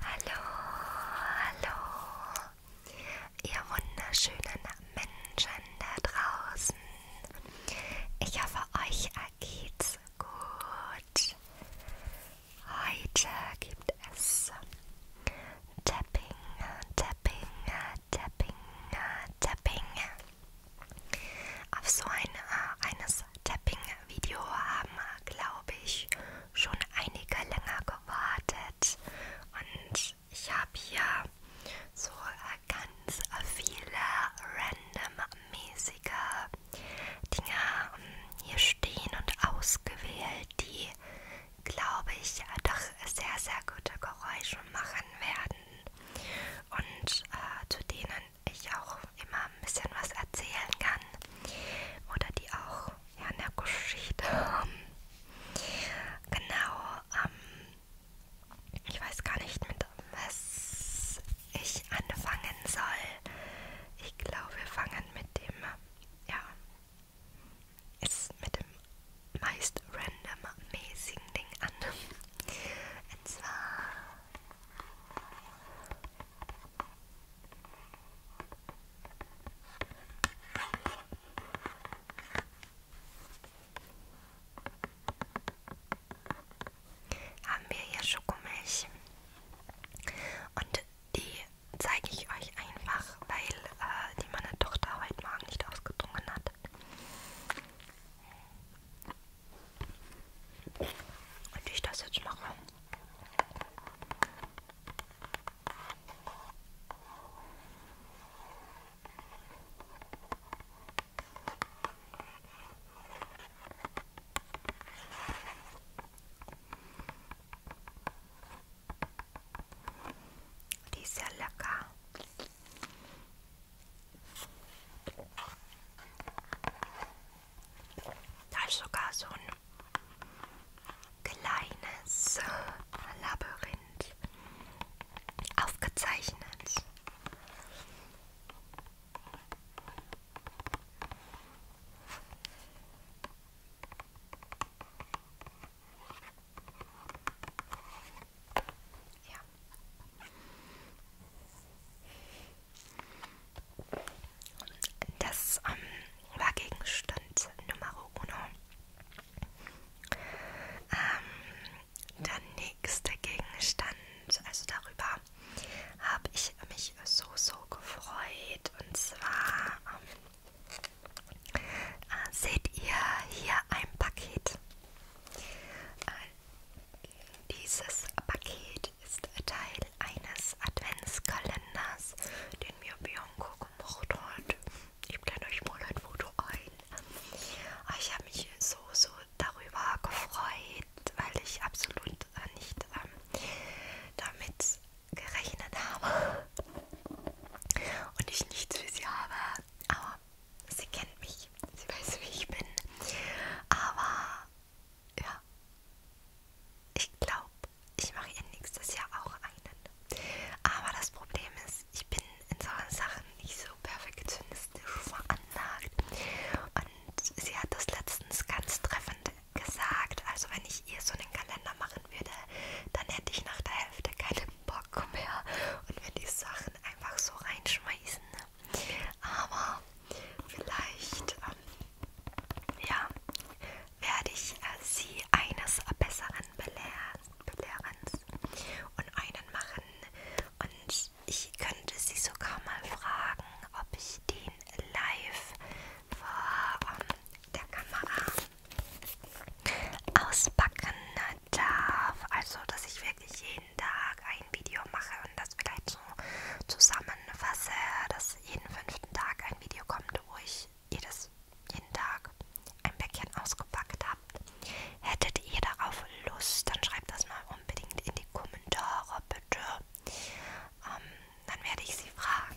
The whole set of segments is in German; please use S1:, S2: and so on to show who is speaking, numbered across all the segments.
S1: Hallo, hallo, ihr wunderschönen Menschen da draußen. Ich hoffe, euch geht's gut. Heute gibt es Tapping, Tapping, Tapping, Tapping. Auf so ein, äh, eines Tapping Video haben, glaube ich, schon einige länger gewartet. Und ich habe hier so äh, ganz viele randommäßige Dinge ähm, hier stehen und ausgewählt, die, glaube ich, doch sehr, sehr gute Geräusche machen werden. Und äh, zu denen ich auch immer ein bisschen was erzählen kann oder die auch ja, eine Geschichte haben. Genau, ähm, ich weiß gar nicht, mit was ich anfangen soll. Ich glaube, wir fangen mit dem, ja, ist mit dem meist randommäßigen Ding an. Und zwar haben wir hier Schokomilch und die zeige ich euch einfach, weil äh, die meine Tochter heute Morgen nicht ausgetrunken hat. Und ich das jetzt mache. Die ist ja lecker. Da ist sogar so ein kleines äh, Labyrinth aufgezeichnet. Ja. Das ähm, war Gegenstand Nummer uno. Ähm, der nächste Gegenstand, also darüber habe ich mich so, so gefreut. Und zwar ähm, äh, seht ihr hier ein Paket. Äh, dieses Paket ist Teil eines Adventskalenders, den mir Bianca gemacht hat. Ich blende euch mal ein Foto ein. Ah, ich habe mich so, so darüber gefreut, weil ich absolut äh, nicht ähm, damit gerechnet habe und ich nichts für sie habe. Aber sie kennt mich, sie weiß, wie ich bin. Aber ja, ich glaube, ich mache ihr nächstes Jahr auch einen. Aber das Problem ist, ich bin in solchen Sachen nicht so perfektionistisch veranlagt. Und sie hat das letztens ganz treffend gesagt. Also wenn ich ihr so einen Kalender machen würde, dann hätte ich nach der Hälfte keinen Bock mehr und würde die Sachen einfach so reinschmeißen. Ne? Aber vielleicht, ähm, ja, werde ich äh, sie eines Besseren belehren und einen machen. Und ich könnte sie sogar mal fragen, ob ich den live vor ähm, der Kamera auspacken darf. Also, dass ich wirklich jeden Tag ein Video mache und das vielleicht so zusammenfasse, dass jeden fünften Tag ein Video kommt, wo ich jedes, jeden Tag ein Päckchen ausgepackt habe. Hättet ihr darauf Lust, dann schreibt das mal unbedingt in die Kommentare, bitte. Ähm, dann werde ich sie fragen.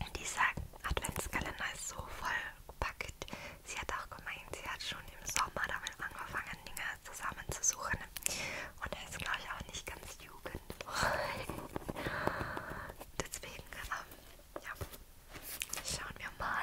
S1: Und dieser Adventskalender ist so vollgepackt. Sie hat auch gemeint, sie hat schon im Sommer damit angefangen, Dinge zusammenzusuchen. Und er ist, glaube ich, auch nicht ganz Jugend. Deswegen, ähm, ja, schauen wir mal.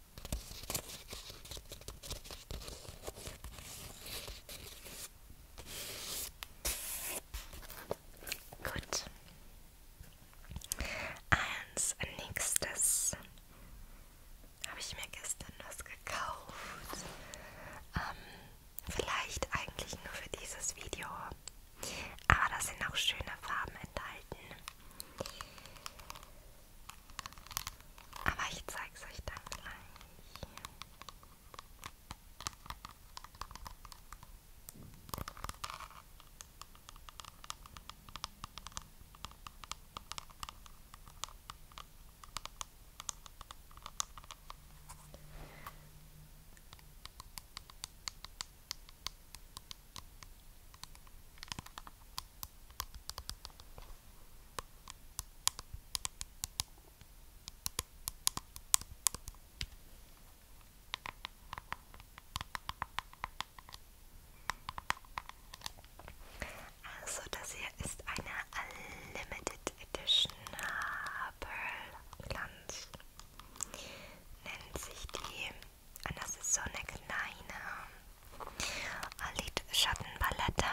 S1: Gut. Als nächstes habe ich mir gestern was gekauft. Ähm, vielleicht eigentlich nur für dieses Video. Aber da sind auch schöne Farben enthalten. Aber ich zeig's euch dann gleich. Also das hier ist eine Limited Edition Pearl Glanz. Nennt sich die und das ist so eine kleine äh, Lidschattenpalette.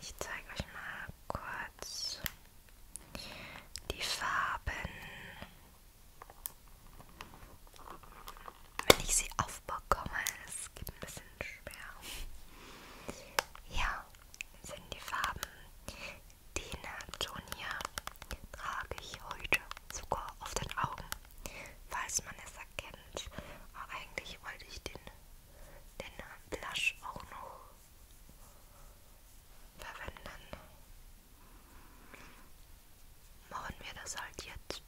S1: Ich zeige euch mal kurz die Farben. Wenn ich sie aufbekomme, es geht ein bisschen schwer. Ja, sind die Farben, die Natonia trage ich heute. Zucker auf den Augen, falls man es erkennt. Aber eigentlich wollte ich den, den Blush auch noch verwenden. Machen wir das halt jetzt.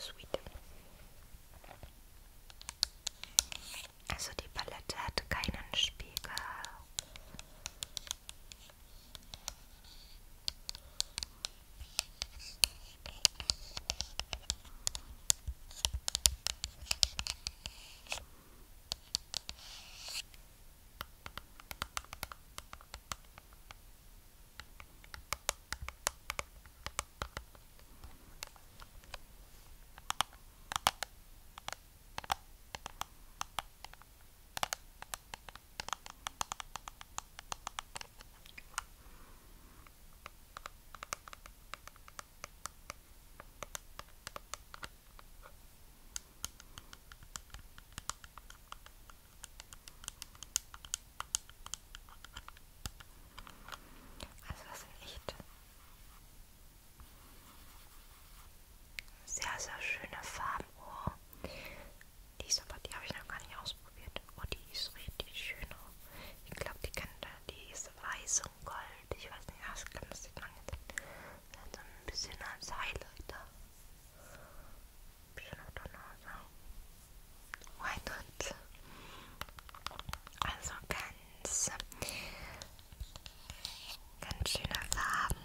S1: Sweet. Also die Palette hat keinen Spiegel. Also das sind echt sehr, sehr schöne Farbenuhr. Die ist aber, die habe ich noch gar nicht ausprobiert. Oh, die ist richtig schön. Ich glaube, die kann die ist weiß und gold. Ich weiß nicht, das, kann, das sieht man jetzt. Das ein bisschen als Highlighter. Ein bisschen auf der Nase. Why not? Also ganz Ganz schöne Farben.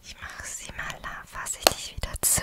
S1: Ich mache sie mal da, fasse ich dich wieder zu.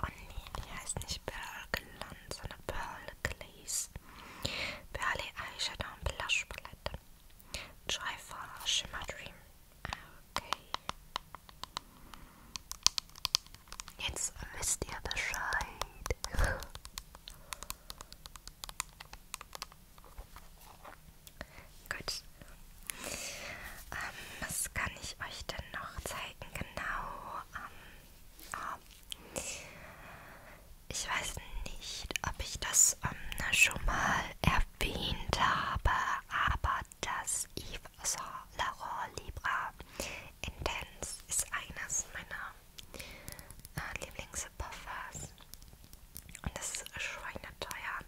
S1: Oh nee, die heißt nicht Pearl Gland, sondern Pearl Glaze. Burley Eyeshadow und Blush Palette. Joyful Shimmer Dream. Okay. Jetzt wisst ihr Bescheid. Gut. Ähm, was kann ich euch denn noch zeigen? Genau. Ähm, Ah. Ich weiß nicht, ob ich das ähm, schon mal erwähnt habe, aber das Yves Laurent Libra Intense ist eines meiner äh, Lieblingsparfums. Und das ist schweineteuer.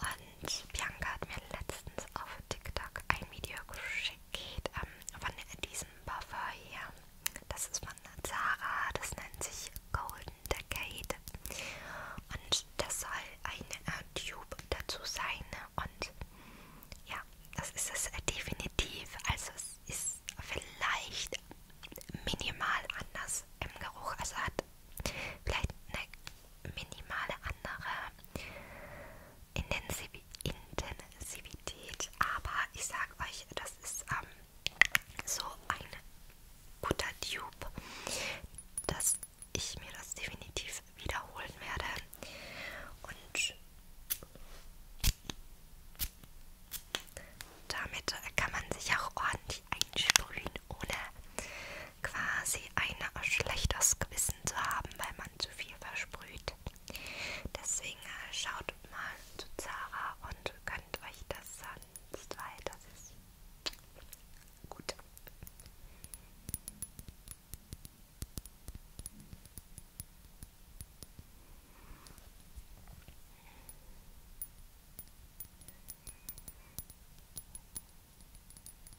S1: Und Bianca hat mir letztens auf TikTok ein Video geschickt geht ähm, von diesem Buffer hier. Das ist von Zara, das nennt sich Golden Decade. Und das soll ein äh, Tube dazu sein. Und ja, das ist es äh, definitiv. Also es ist vielleicht minimal anders im Geruch. Also hat vielleicht eine minimale andere Intensität Intensivität, aber ich sag euch, das ist ähm, so ein guter Dupe, dass ich mir das definitiv wiederholen werde und damit kann man sich auch ordentlich einsprühen, ohne quasi ein schlechtes Gewissen zu haben, weil man zu viel versprüht. Deswegen äh, schaut mal zu Zara und könnt euch das sonst, weil das ist gut.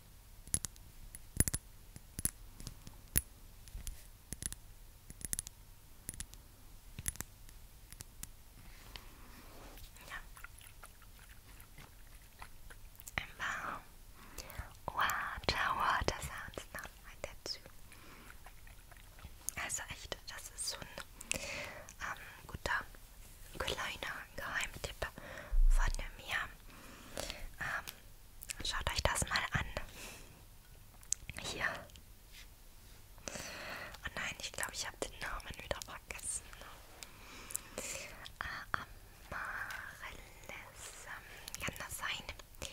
S1: Wow. Wow, Tower, das sounds not like dazu. Also echt, das ist so ein ähm, guter kleiner Geheimtipp von mir. Ähm, schaut euch das mal an. Hier. Oh nein, ich glaube, ich habe den Namen wieder vergessen. Äh, Amaryllis. Ähm, kann das sein? Ja,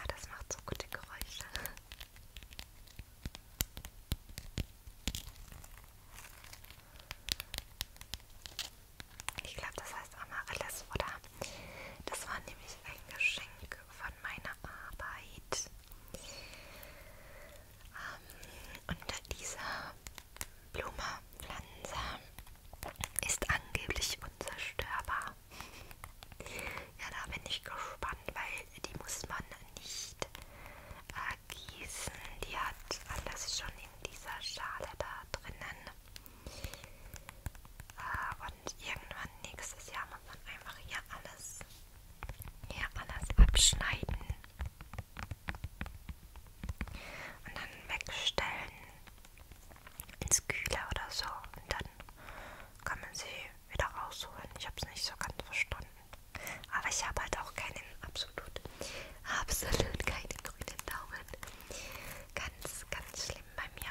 S1: ah, das macht so gute Geräusche. Ich glaube, das heißt Amaryllis, oder? Das war nämlich ein Geschenk von meiner Arbeit. Ähm, und diese Blume, Pflanze, ist angeblich unzerstörbar. Ja, da bin ich gespannt, weil die muss man nicht äh, gießen. Die hat alles schon in dieser Schale da drinnen. Äh, und irgendwann nächstes Jahr muss man einfach hier alles, hier alles abschneiden. Und dann wegstellen ins Kühle oder so. Und dann kann man sie wieder rausholen. Ich habe es nicht so ganz verstanden. Aber ich habe halt auch keinen, absolut, absolut keinen grünen Daumen. Ganz, ganz schlimm bei mir.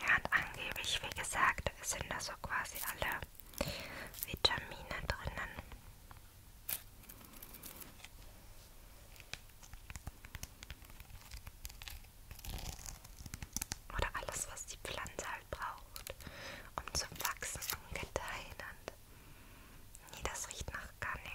S1: Ja, und angeblich, wie gesagt, sind da so quasi alle Vitamine drinnen. Oder alles, was die Pflanze halt braucht, um zu wachsen und gedeihen und Nee, das riecht nach gar nichts.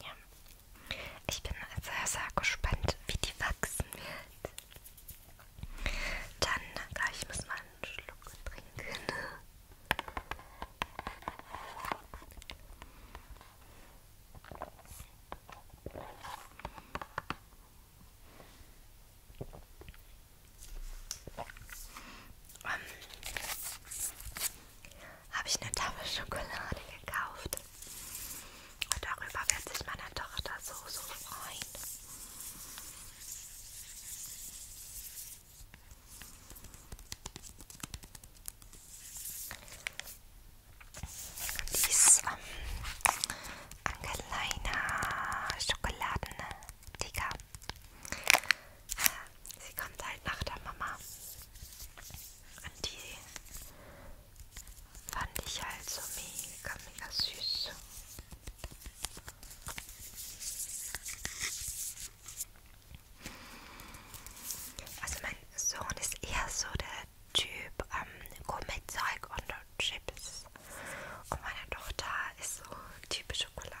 S1: Ja. Ich bin sehr, sehr gespannt, wie die wachsen wird. Dann gleich muss man einen Schluck trinken. Um, ähm, Habe ich eine Tafel Schokolade gekauft und darüber wird sich meine Tochter so, so freuen. Dies ähm, Angeleina Schokoladendicker. Sie kommt halt nach der Mama. Und die Fand ich halt so mega, mega süß. Also mein Sohn ist eher so der Typ ähm, Gummizeug und Chips. Und meine Tochter ist so Typ Schokolade.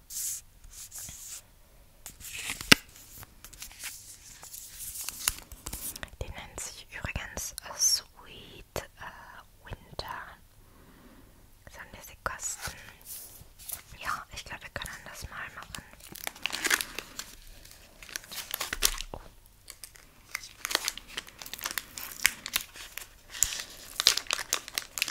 S1: Die nennt sich übrigens äh, Sweet äh, Winter. Sollen wir sie kosten? Ja, ich glaube, wir können das mal machen. Oh.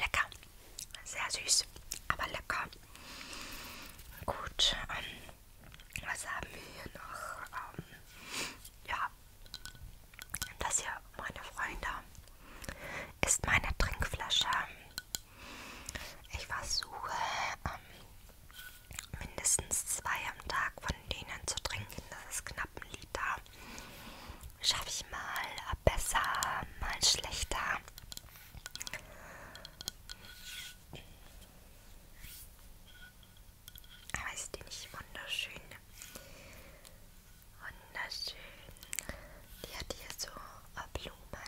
S1: Lecker. Sehr süß, aber lecker. Gut, ähm, was haben wir hier noch? Ähm, ja, das hier, meine Freunde, ist meine Trinkflasche. Ich versuche ähm, mindestens zwei am Tag von denen zu trinken. Das ist knapp ein Liter. Schaffe ich mal besser, mal schlechter. Aber ah, ist die nicht wunderschön? Wunderschön. Die hat hier so äh, Blumen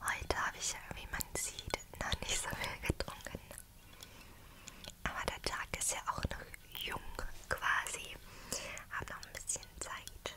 S1: Heute habe ich ja, wie man sieht, noch nicht so viel getrunken. Aber der Tag ist ja auch noch jung quasi. Hab noch ein bisschen Zeit.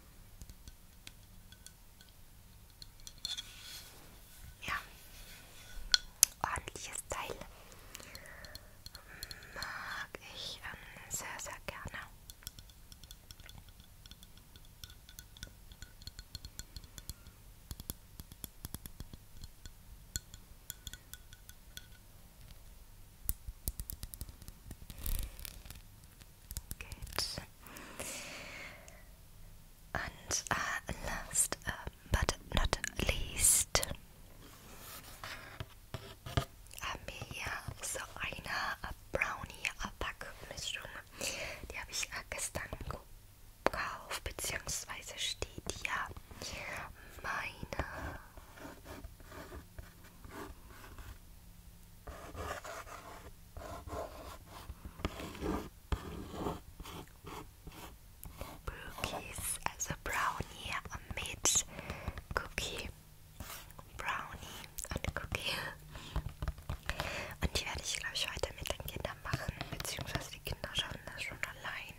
S1: Ja, ordentliches Teil mag ich ähm, sehr, sehr gerne. Good. And uh, last uh, but not least haben wir hier so eine Brownie-Backmischung. Die habe ich äh, gestern gekauft, beziehungsweise steht hier meine Brookies, also Brownie mit Cookie. Brownie und Cookie. Und die werde ich, glaube ich, heute mit den Kindern machen, beziehungsweise die Kinder schaffen das schon allein.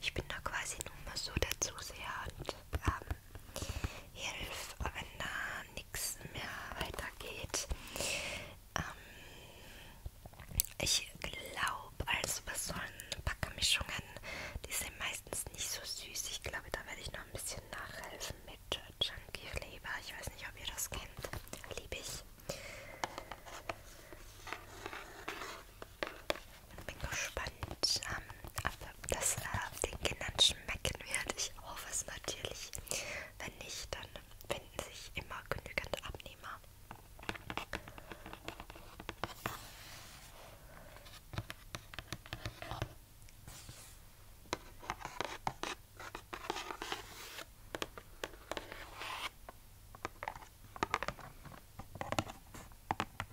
S1: Ich bin da quasi nur mal so der Zuseher und ähm, Hilfe, wenn da nichts mehr weitergeht. Ähm, ich glaube, also was sollen Backermischungen? Die sind meistens nicht so süß. Ich glaube, da werde ich noch ein bisschen nachhelfen mit Chunky Flavor. Ich weiß nicht, ob ihr das kennt. Liebe ich. Bin gespannt, und ähm, ob das äh, den Kindern schmecken wird, ich hoffe es natürlich. Wenn nicht, dann finden sich immer genügend Abnehmer.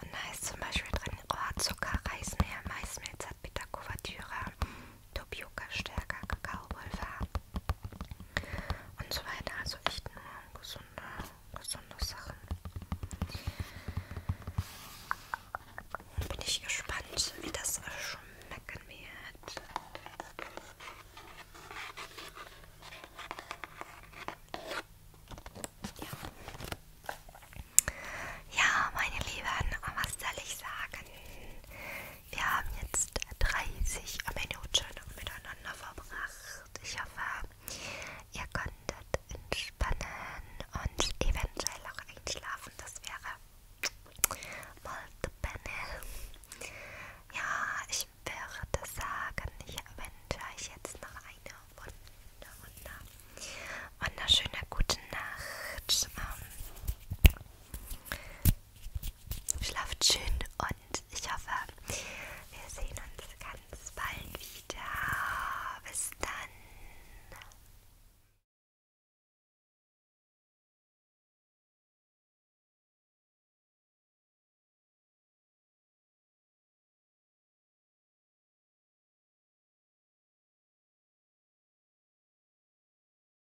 S1: Und da ist zum Beispiel drin Rohrzucker, Reismehl, Maismehl, Zartbitter, Kuvertüre, Tapioca stärker, Kakaopulver und so weiter. Also echt nur gesunde, gesunde Sachen. Bin ich gespannt, wie das schmecken wird. Ja. ja, meine Lieben, was soll ich sagen? Wir haben jetzt 30 Minuten miteinander verbracht. Ich hoffe, ihr konntet entspannen und eventuell auch einschlafen. Das wäre mal the bene. Ja, ich würde sagen, ich wünsche euch jetzt noch eine wunder, wunder, wunderschöne gute Nacht. Ähm, Schlaft schön und ich hoffe, wir sehen uns ganz bald wieder. Bis dann.